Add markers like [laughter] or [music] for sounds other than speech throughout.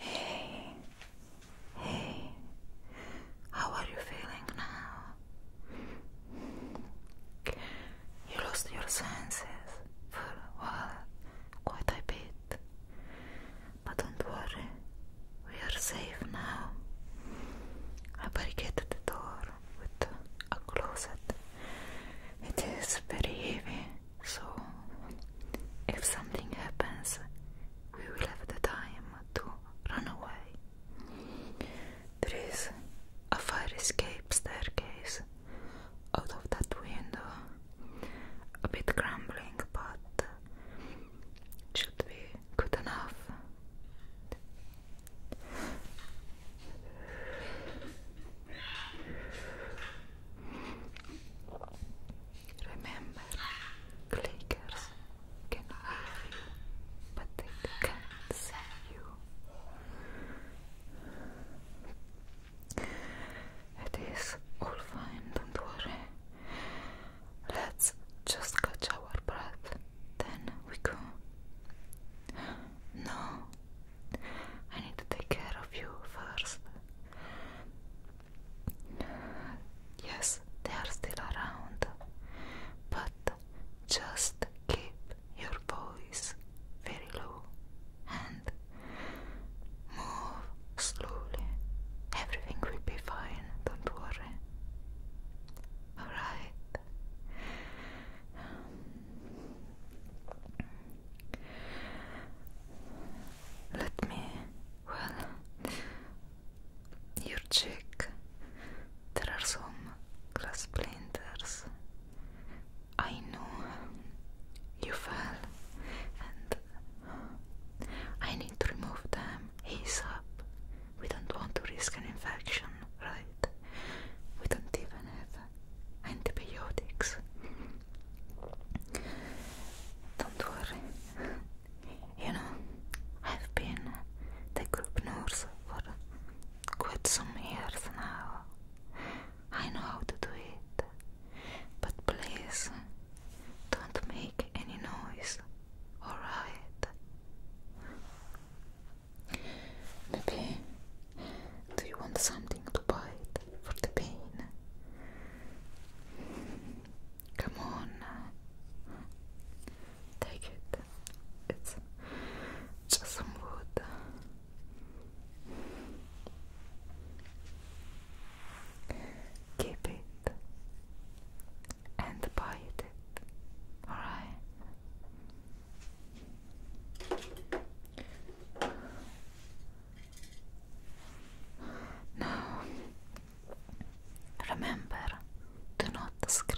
Hey, hey, how are you feeling now? You lost your senses for a while, quite a bit, but don't worry, we are safe now. I barricaded the door with a closet, it is very heavy. So, if something happens, we will have the time to run away. There is a fire escape staircase out of that window. A bit crumbling, but should be good enough. Remember, clickers can hear you, but they can't see you. It is all fine, don't worry. Let's just catch our breath, then we go. No, I need to take care of you first. Yes, they are still around, but just keep your voice very low and move slowly. Everything will be fine, don't worry. Alright. Let me, well, your cheek. There are some glass splinters. I know you fell, and I need to remove them He's up. We don't want to risk an infection, right? We don't even have antibiotics. Don't worry. You know, I've been the group nurse for quite some years now. I know how to do it. But please don't make any noise, alright? Maybe do you want something to bite for the pain? Come on, take it. It's just some wood. Keep it and bite it. Alright. Now, remember, do not scream.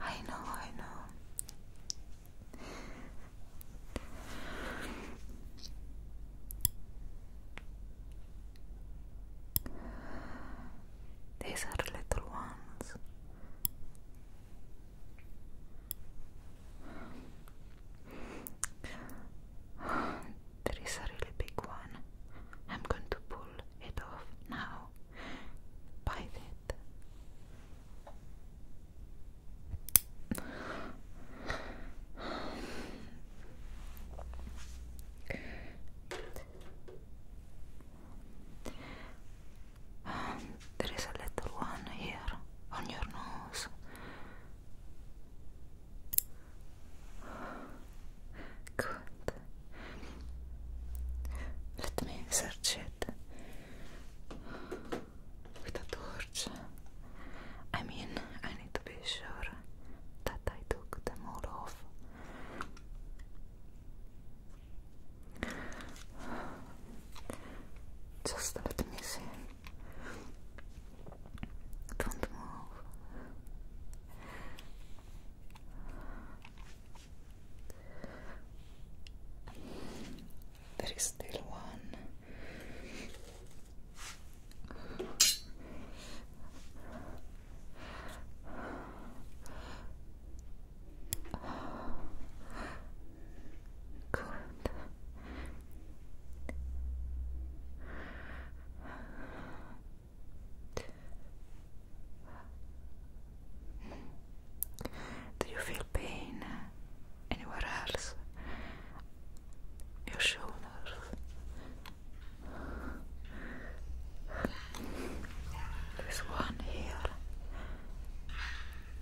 I know, I know. These are little ones. There is a really big one. I'm going to pull it off now. Bite it. [sighs] there is a little one here on your nose. Good. Let me search it with a I mean, I need to be sure that I took them all off. Just let me see. Don't move. There is still one good. Do you feel pain anywhere else? Your shoulders. This one here.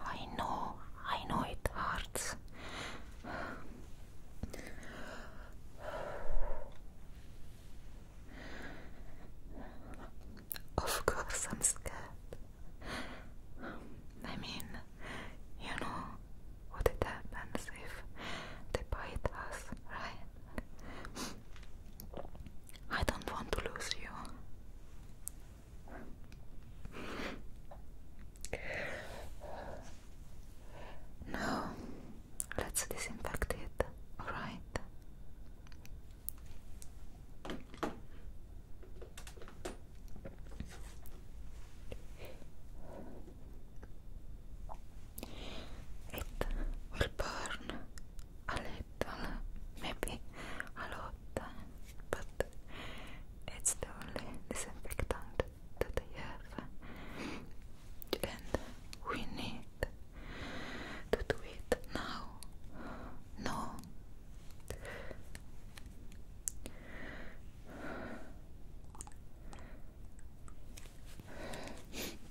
I know, I know it hurts. Of course, I'm scared. I mean, you know what it happens if they bite us, right? I don't want to lose you. No, let's disinfect it, alright? It will burn a little maybe a lot, but it's the only disinfectant that I have, and we need to do it now. No.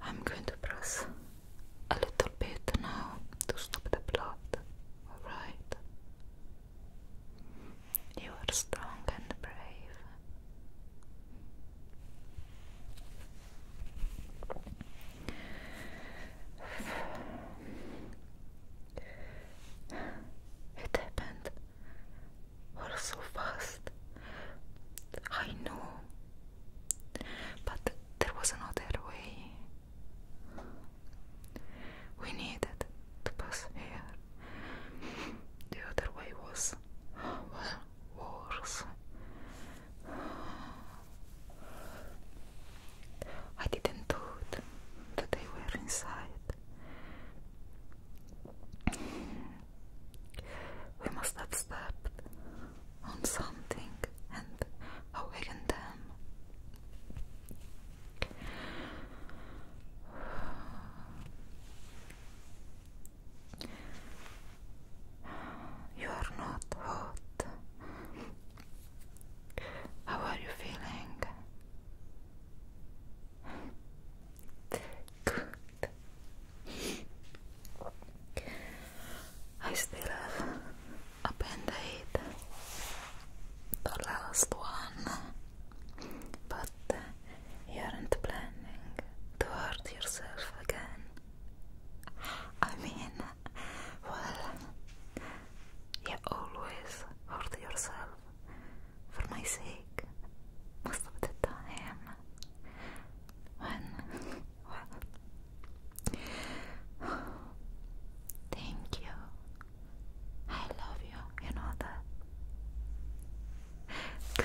I'm going to press a little bit now to stop the blood. Alright. You are strong and brave. It happened or so fast. I know, but there was another way. We needed to pass here. The other way was, well, worse. I didn't do it, but they were inside. We must have on something and awakened them. You are not hot. How are you feeling? I still have a band-aid, the last one, but uh, you aren't planning to hurt yourself again. I mean, well, you always hurt yourself for my sake most of the time when well thank you I love you you know that good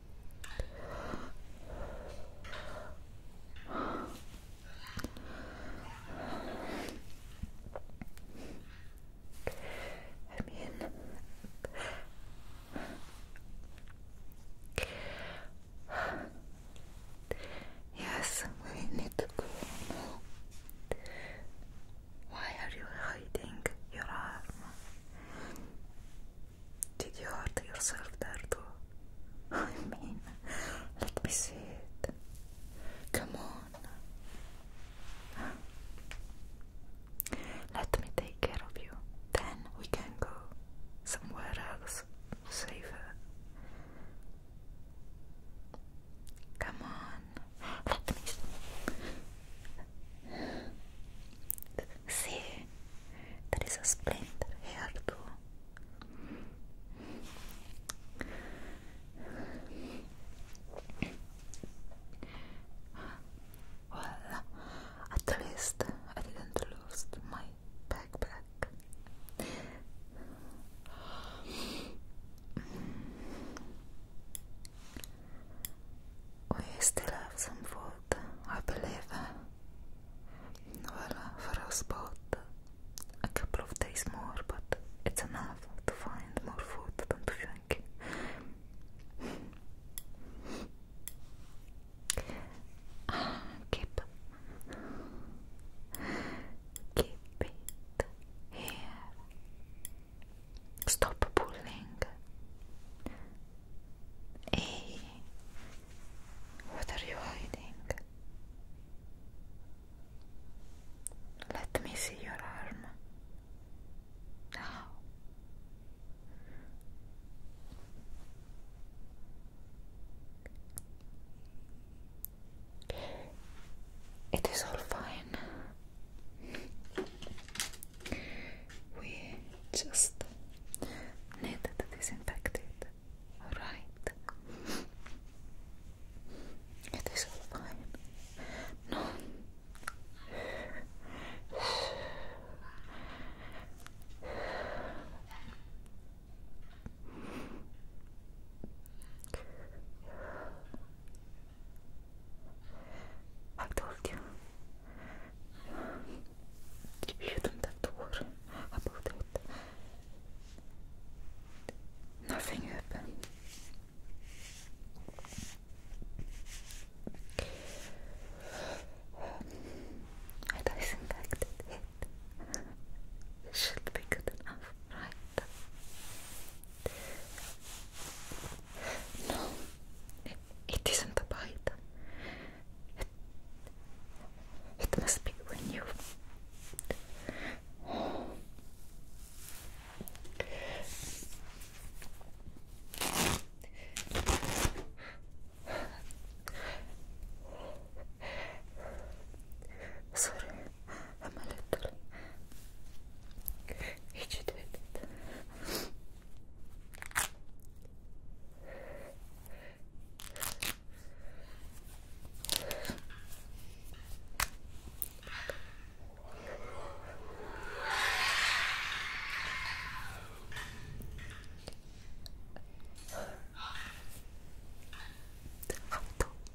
I mean, yes, we need to go Why are you hiding your arm? Did you hurt yourself there too? [laughs] I mean, let me see it. Come on. Let me take care of you. Then we can go somewhere else, safer. Come on. Let me See, there is a splinter here to. Well, at least I didn't lose my backpack. We still have some food, I believe. Well, for us both, a couple of days more, but it's enough to find more food, don't you Keep, keep it here. Stop pulling. Hey, what are you hiding? Let me see your arm now. It is all fine. We just need to disinfect it. Alright? It is all fine. No. I told you Я там так дур, обалдеть. Nothing happened. I disinfected It should be good enough, right? No, it isn't a bite. It, must be when you. Sorry, I'm a little agitated. I told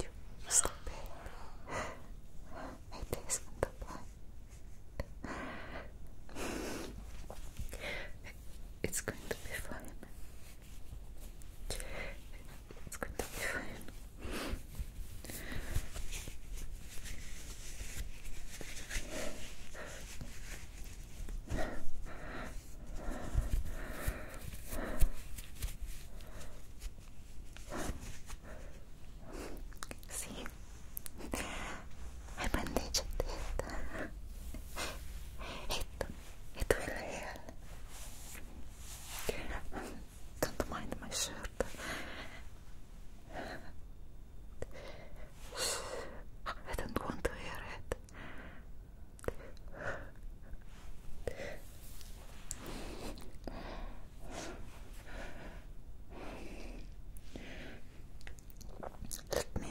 you, stop it. I taste the it's going to be fine. It's going to be fine. See, 발반대해줬다 했다 했다 했다 Don't mind my shirt I don't want to hear it let me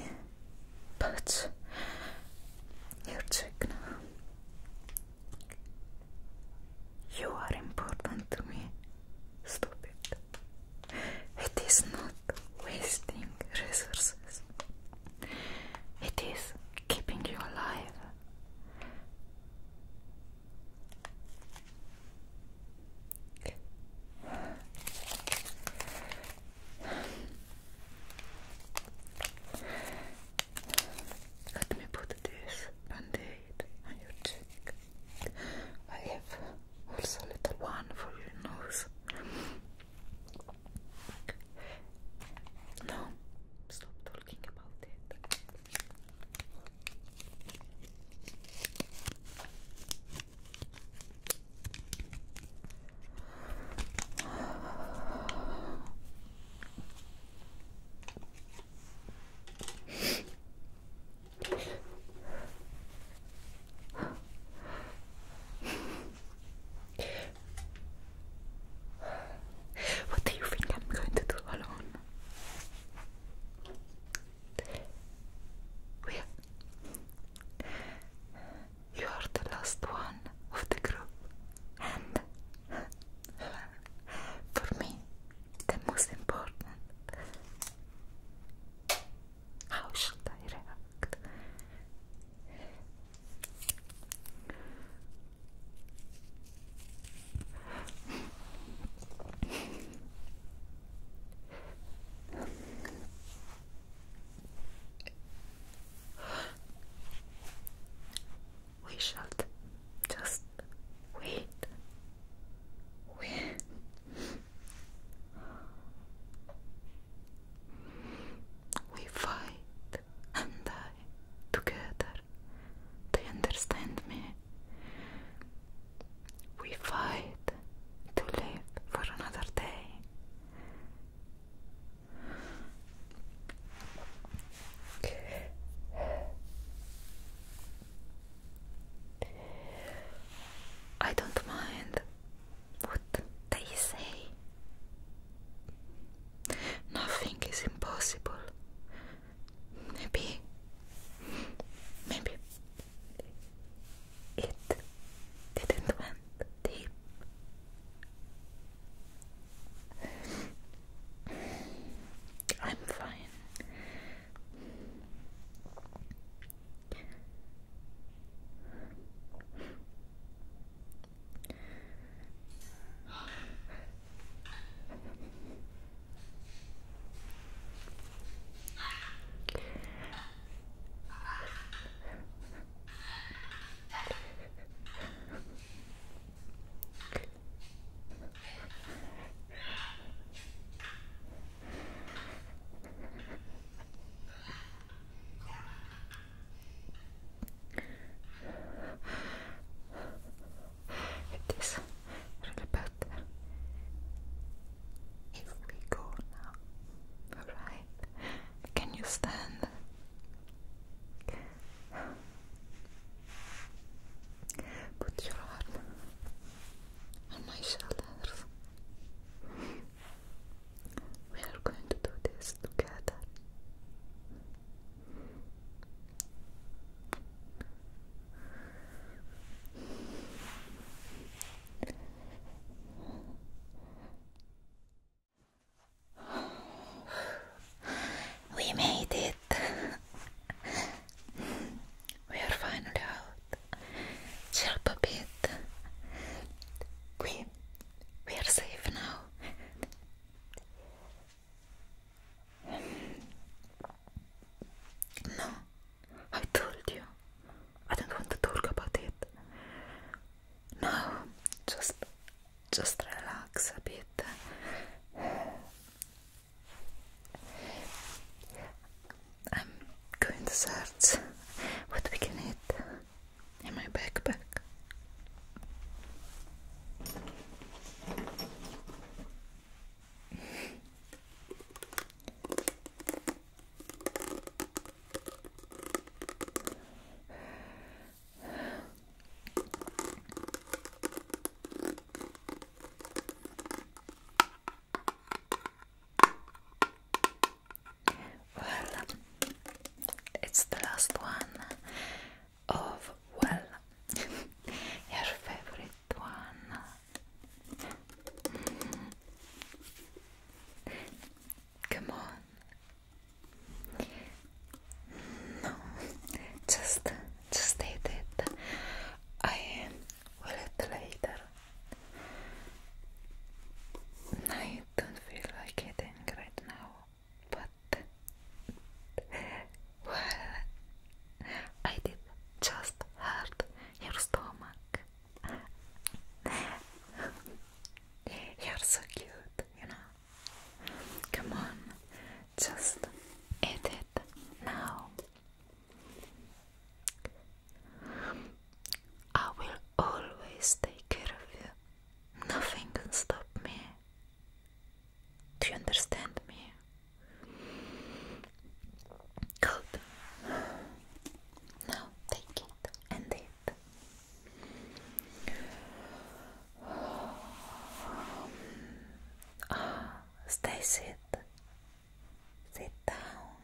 put your check You are important to me. Stop It is not wasting resources. It is keeping you alive. Let me put this band on your cheek. I have also a little one for your nose. No, stop talking about it. What do you think I'm going to do alone? We're you are the last one of the group, and for me, the most important. How should I react? We shall just wait. Wait. We fight and die together. Do understand me? We fight to live for another day. I don't mind what they say. Nothing is impossible. Maybe, maybe it didn't went deep. I'm fine. It is really bad if we go now, alright? Can you stand? Put your arm on my shoulders. We are going to do this together. [sighs] We made it. [laughs] we are finally out. Chill a bit. We we are safe now. [sighs] [sighs] No, I told you. I don't want to talk about it. No, just just relax a bit. I'm going to search what we can eat in my backpack well, it's the last one of well, [laughs] your favorite one. Come on. No, just, just eat it. I will eat later. I don't feel like eating right now, but well, I did just hurt your stomach. You're so cute, you know. Come on, just eat it now. I will always take care of you. Nothing can stop me. Do you understand me? Good. Now take it and it. [sighs] stay sit. Sit down.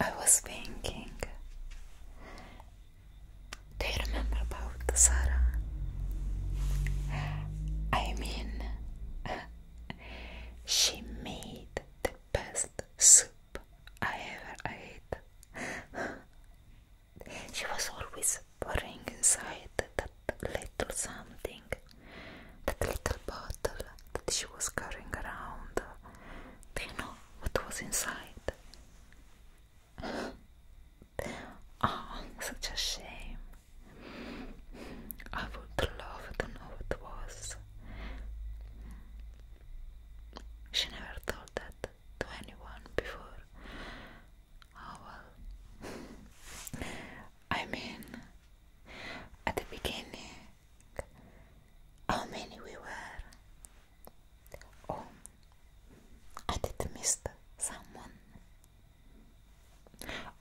I was thinking do you remember about Sarah? I mean, [laughs] she made the best soup I ever ate. [laughs] she was always pouring inside that little something, that little bottle that she was carrying around. Do you know what was inside? Oh, such a shame. I would love to know what was. She never told that to anyone before. Oh well. I mean, at the beginning, how many we were? Oh, I did miss someone.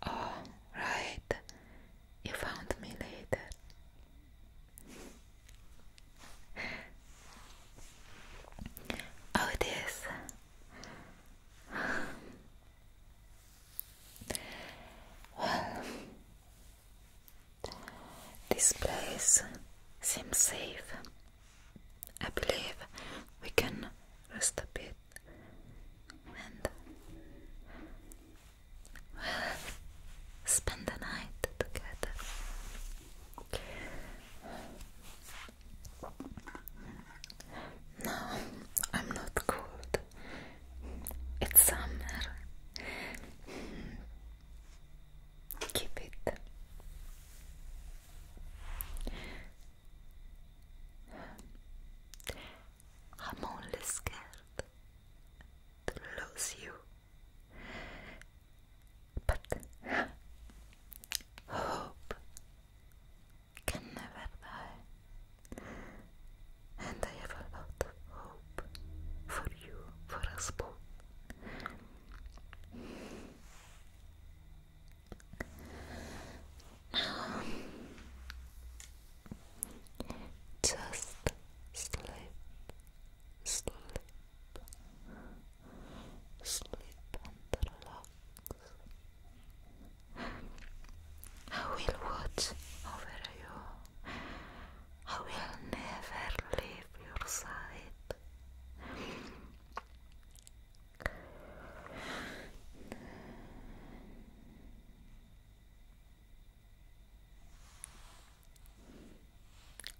Oh, right. You found me later. Oh, it is. this place seems safe. I believe we can rest a bit and spend the night together. No, I'm not cold. It's summer. Keep it. I'm only scared to lose you. But hope can never die. And I have a lot of hope for you, for us both just sleep, sleep, sleep and relax. I will watch over you. I will never leave your side.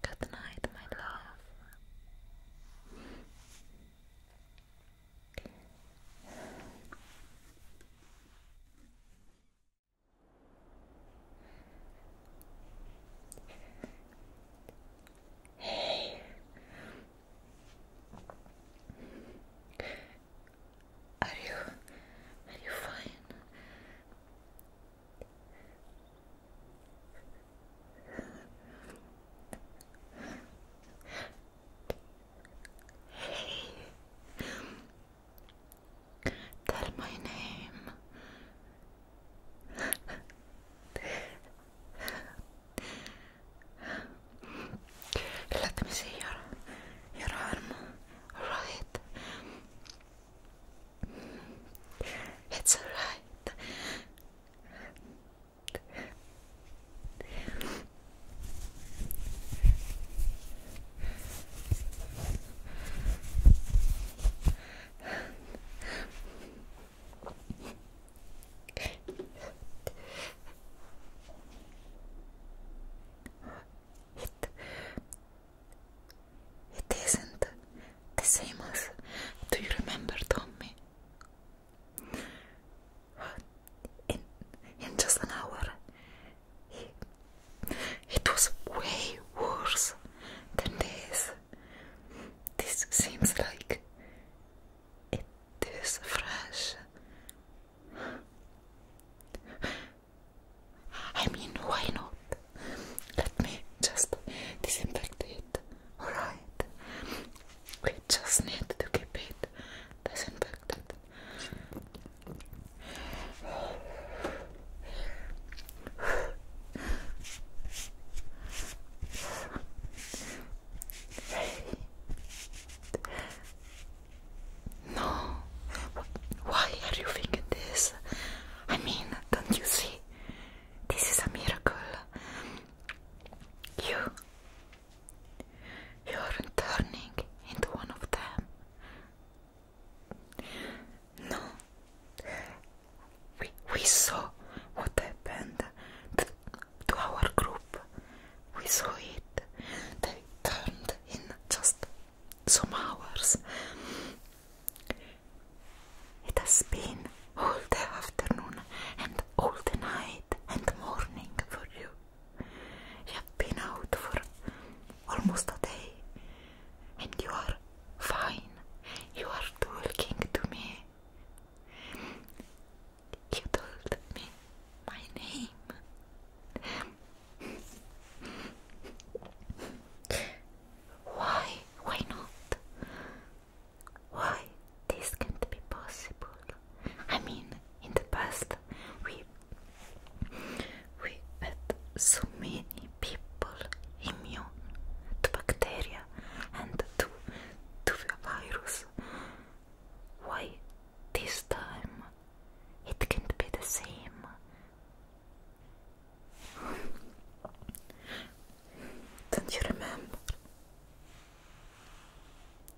Good night, my love. Hey. Are you are you fine? Hey. Tell my name. Let me see your, your arm. Right. It's alright. it isn't the same as do you remember Tommy? In in just an hour it was way worse than this this seems like it is fresh. I mean, why not? Let me just disinfect it, alright? We just need to keep it disinfected. [laughs] No, why are you thinking this? I mean, don't you see? This is a miracle. You, you are turning into one of them. No, we, we saw what happened to, to our group. We saw it. They turned in just some hours. It has been all the afternoon and all the night and morning for you. You have been out for almost a day and you are fine. You are talking to me. You told me my name. Why? Why not? Why this can't be possible? I mean, in the past we we had so many people immune to bacteria and to, to the virus. Why this time it can't be the same? Don't you remember?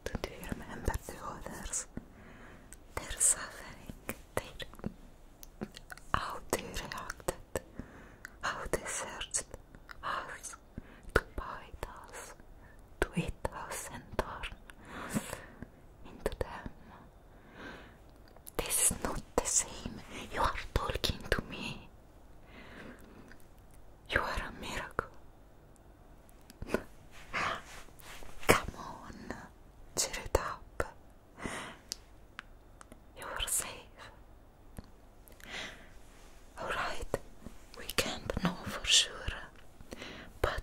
Don't you remember the others? they suffering. They... How how they searched us to bite us, to eat us, and turn us into them. This is not the same. You are talking to me. You are a miracle. Come on, cheer it up. You are safe. Alright, we can't know for sure, but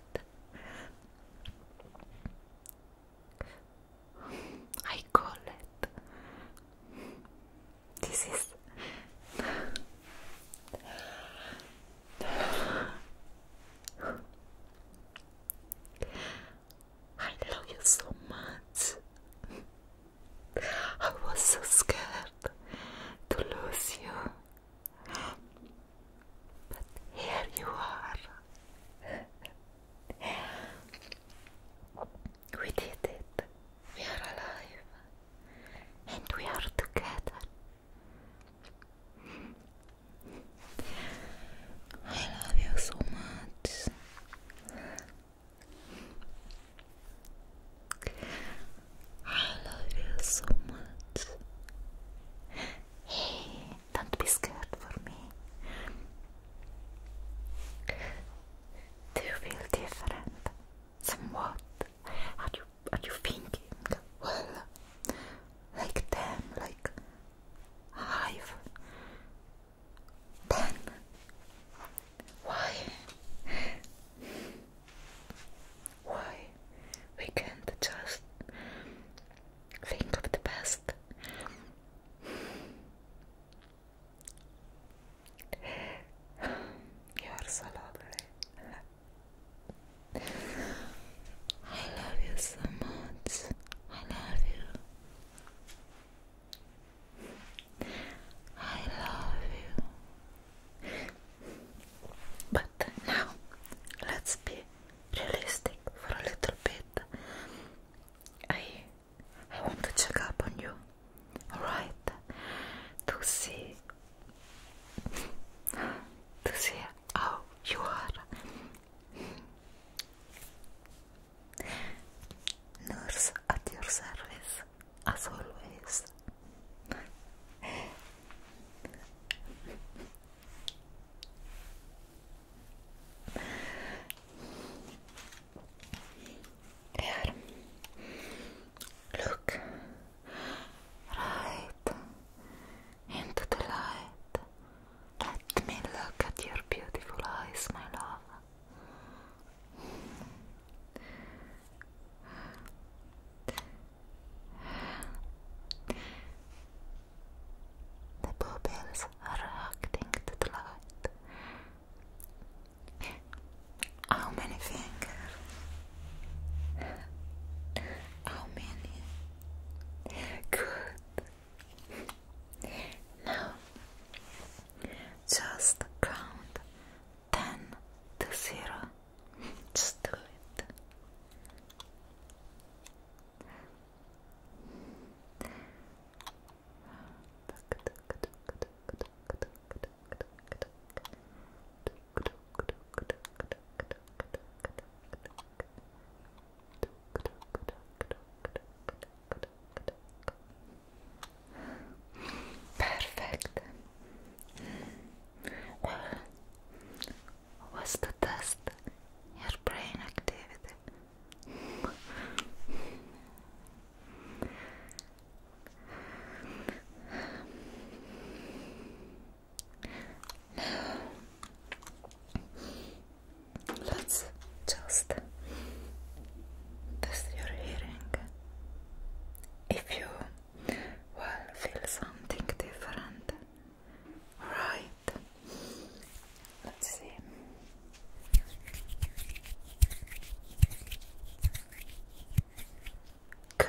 I call it. This is. I love you so much. I was so scared to lose you, but here you are. We did it. We are alive, and we are together. I love you so much. I love you so much. Hey, don't be scared for me. Do you feel different? Somewhat? Are you are you thinking? Well, like them, like i Ten. Why? Why? We can't just think of the best. You are so lovely. I love you so much. I love you. I love you. But now, let's be realistic for a little bit. I I want to check up on you, alright? To see to see how you are. Nurse at your service, as always. Look right into the light. Let me look at your beautiful eyes, my love. The bluebells are acting to the light. How many fingers? How many? Good. Now just count ten to zero. [laughs] Just do it. [laughs] Perfect. Well, was the test your brain activity? let's just test your hearing. If you well feel something different, right? Let's see. Good.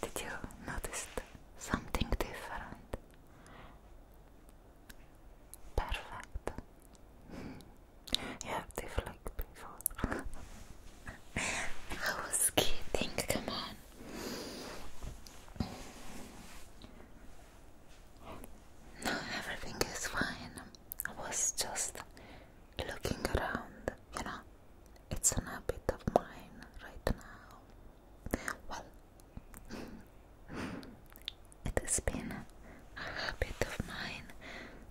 Did you notice something different? Perfect. [laughs] You have before. [laughs] I was kidding, come on. No, everything is fine. I was just looking around, you know. It's a habit of mine right now. Well, [laughs] it has been a habit of mine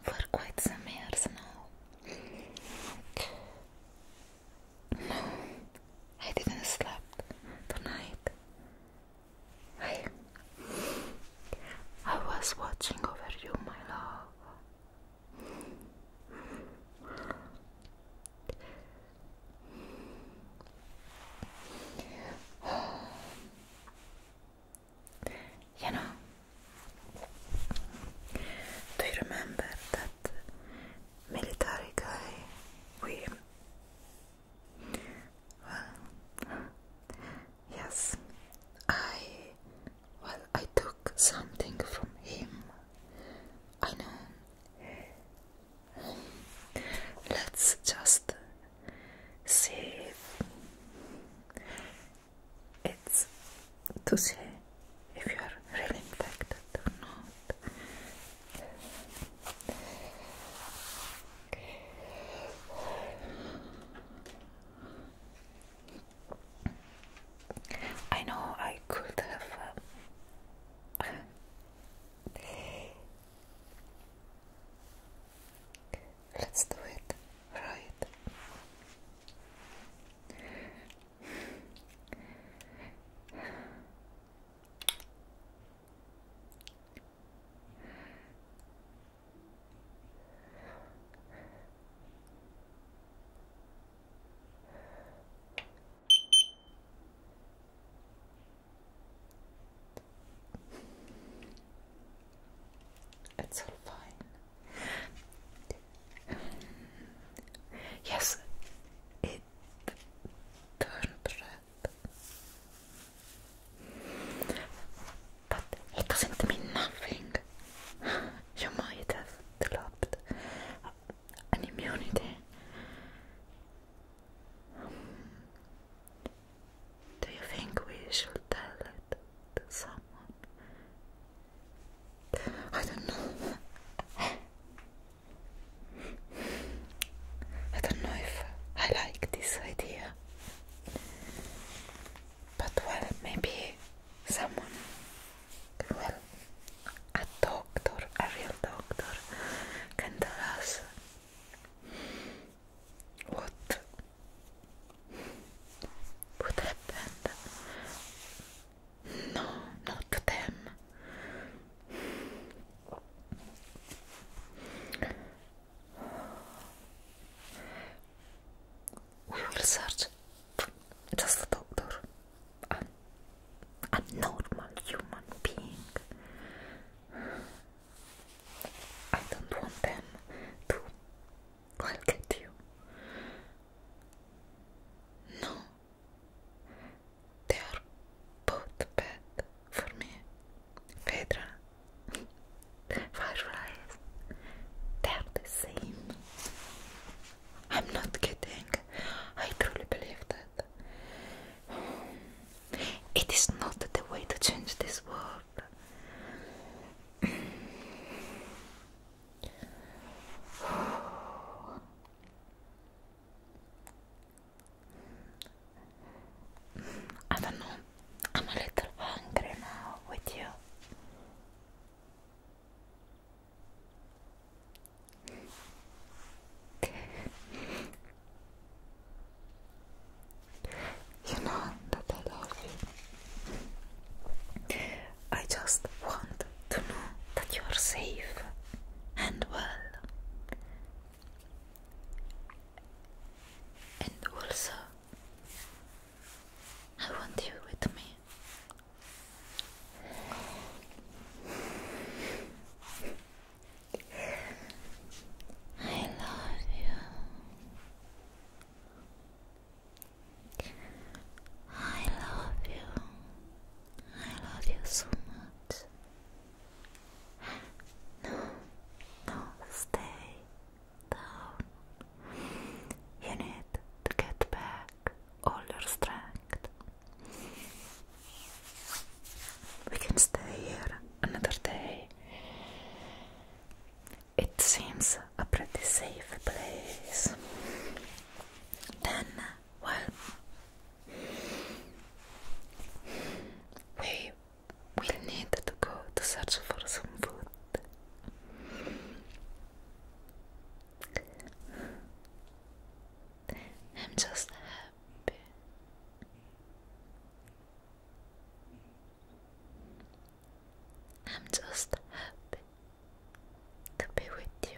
for quite some years now. No, I didn't sleep tonight. I was watching over you, my love. You know, do you remember that military guy we well, yes, I well I took something from him. I know. Let's just see. It's to see if you are really infected or not. I know I could have. Uh, let's do it right. It's all fine. Yes, it turned red. But it doesn't mean nothing. Your might have developed an immunity. do you think we should tell it to someone? I don't know. I don't know if I like this idea, but well, maybe someone, well, a doctor, a real doctor, can tell us what what happened. No, not them. We will search just the doctor, a normal human being. I don't want them to well you. No. They are both bad for me. Phaedra, fireflies, they are the same. I'm not kidding. I truly believe that. It is not the way to change this world. I don't know. I'm a little angry now with you. you know that I love you. I just want to know that you are safe and well and also, I want you with me. I love you. I love you. I love you so much. No, no, stay down. You need to get back all your strength. We can stay here another day. It seems a pretty safe place. Then well, we will need to go to search for some food. I'm just happy. I'm just happy to be with you.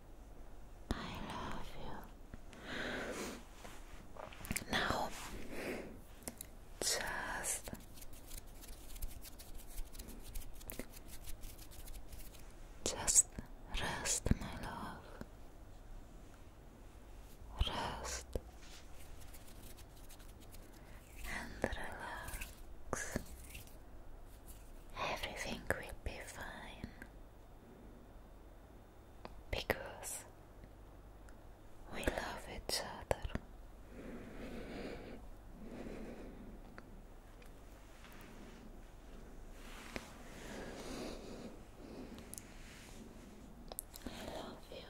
I love you. Now, just just rest, my love. Rest and relax. Everything will be fine because we love each other. I love you.